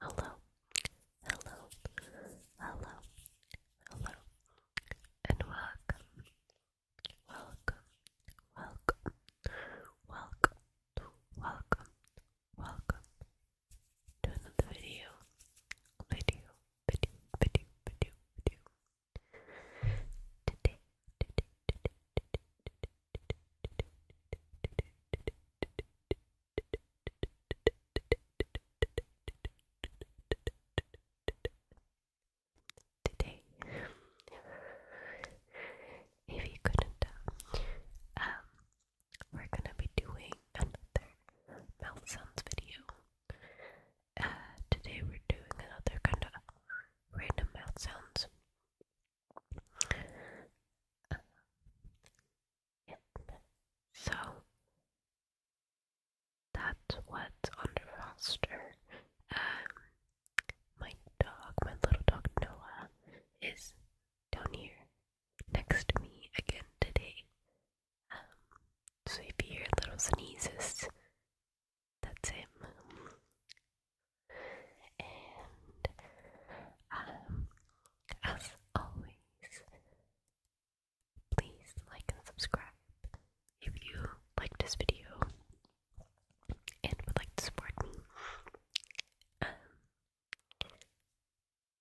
Hello, hello, hello, hello, and welcome, welcome, welcome, welcome, welcome, to another video, video, video, video, video, today, today, today, today, today, today. If you couldn't tell, um, we're gonna be doing another mouth sounds video. Uh, today we're doing another kind of random mouth sounds. So that's what's on Foster, um, my dog, my little dog Noah, is down here next to me again today. Um, so if you hear little sneezes, that's him and um, as always, please like and subscribe if you like this video and would like to support me. Um,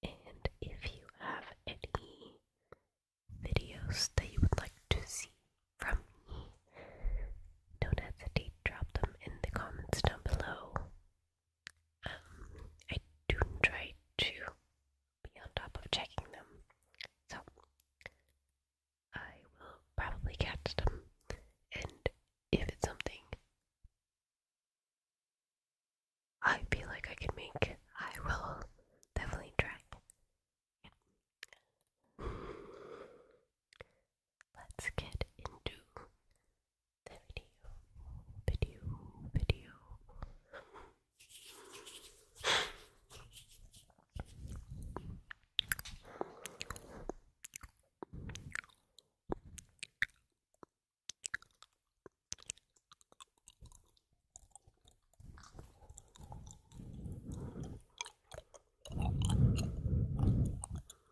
and if you have any videos that you would like to see from me, don't hesitate to drop them in the comments down below. I do try to be on top of checking them, so I will probably catch them, and if it's something I feel like I can make, I will definitely try let's get into the video. Video, video.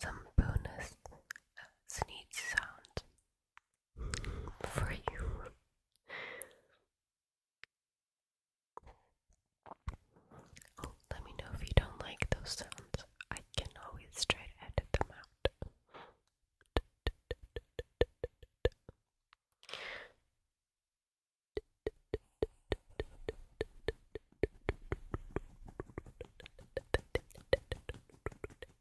some bonus sneeze sound for you. Oh, let me know if you don't like those sounds. I can always try to edit them out.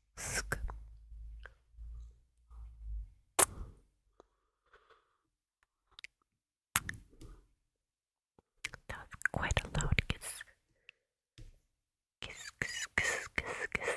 That's quite a loud kiss. Kiss, kiss, kiss, kiss, kiss.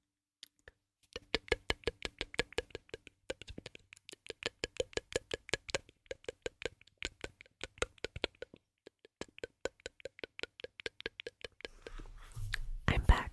I'm back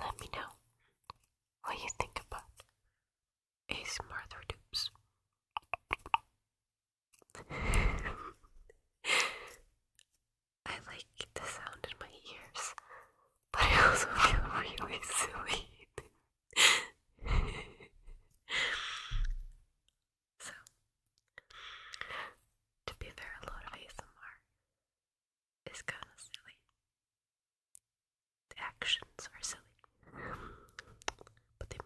Let me know what you think about ASMR Martha Doops? I like the sound in my ears, but I also feel really silly. so, to be fair, a lot of ASMR it's kind of silly. The actions are silly, but they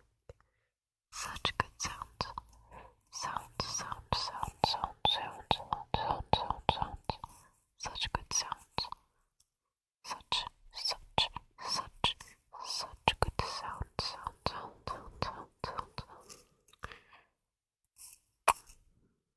such good Sound, sound, sound, sound, sound, sound, sound, sound, sound. Such good sounds. Such, such, such, such good sound, sound, sound, sound, sound.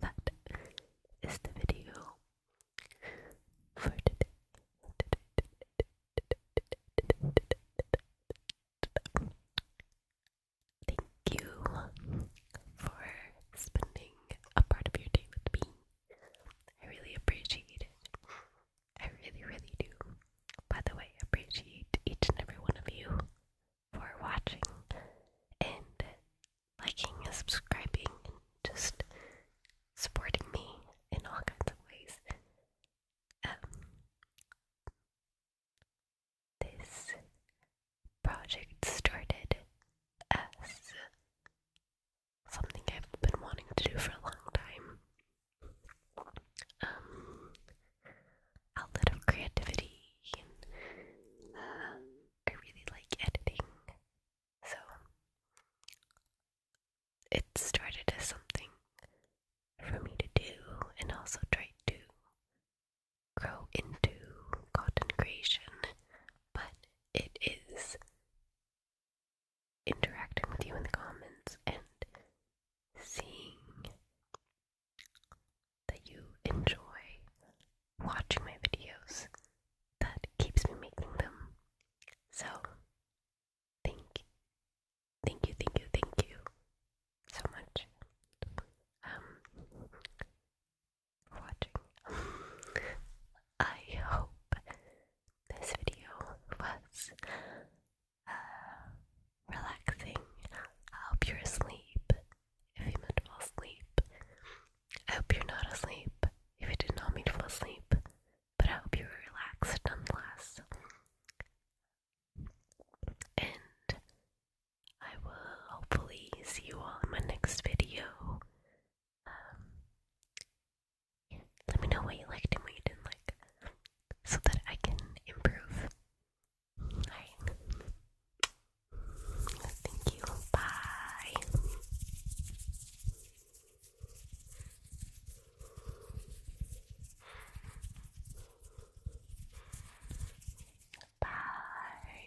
that is the video Thank you for spending a part of your day with me. I really appreciate it. I really, really do. By the way, I appreciate each and every one of you for watching and liking and subscribing and just supporting me in all kinds of ways. Um, this project started as something I've been wanting to do for a long time. Um, outlet of creativity, and um, I really like editing, so it started as something for me to do and also try to grow into content creation, but it is interacting with you in the comments and seeing that you enjoy watching my videos. That keeps me making them. So, thank, thank you, thank you, thank you so much. Um, watching. I hope this video was uh, relaxing. I hope you're asleep if you meant fall asleep. I hope you're not asleep if you did not mean to fall asleep. But I hope you were relaxed nonetheless. And I will hopefully see you all in my next video let me know what you liked and what you didn't like, so that I can improve. Thank you. Bye. Bye.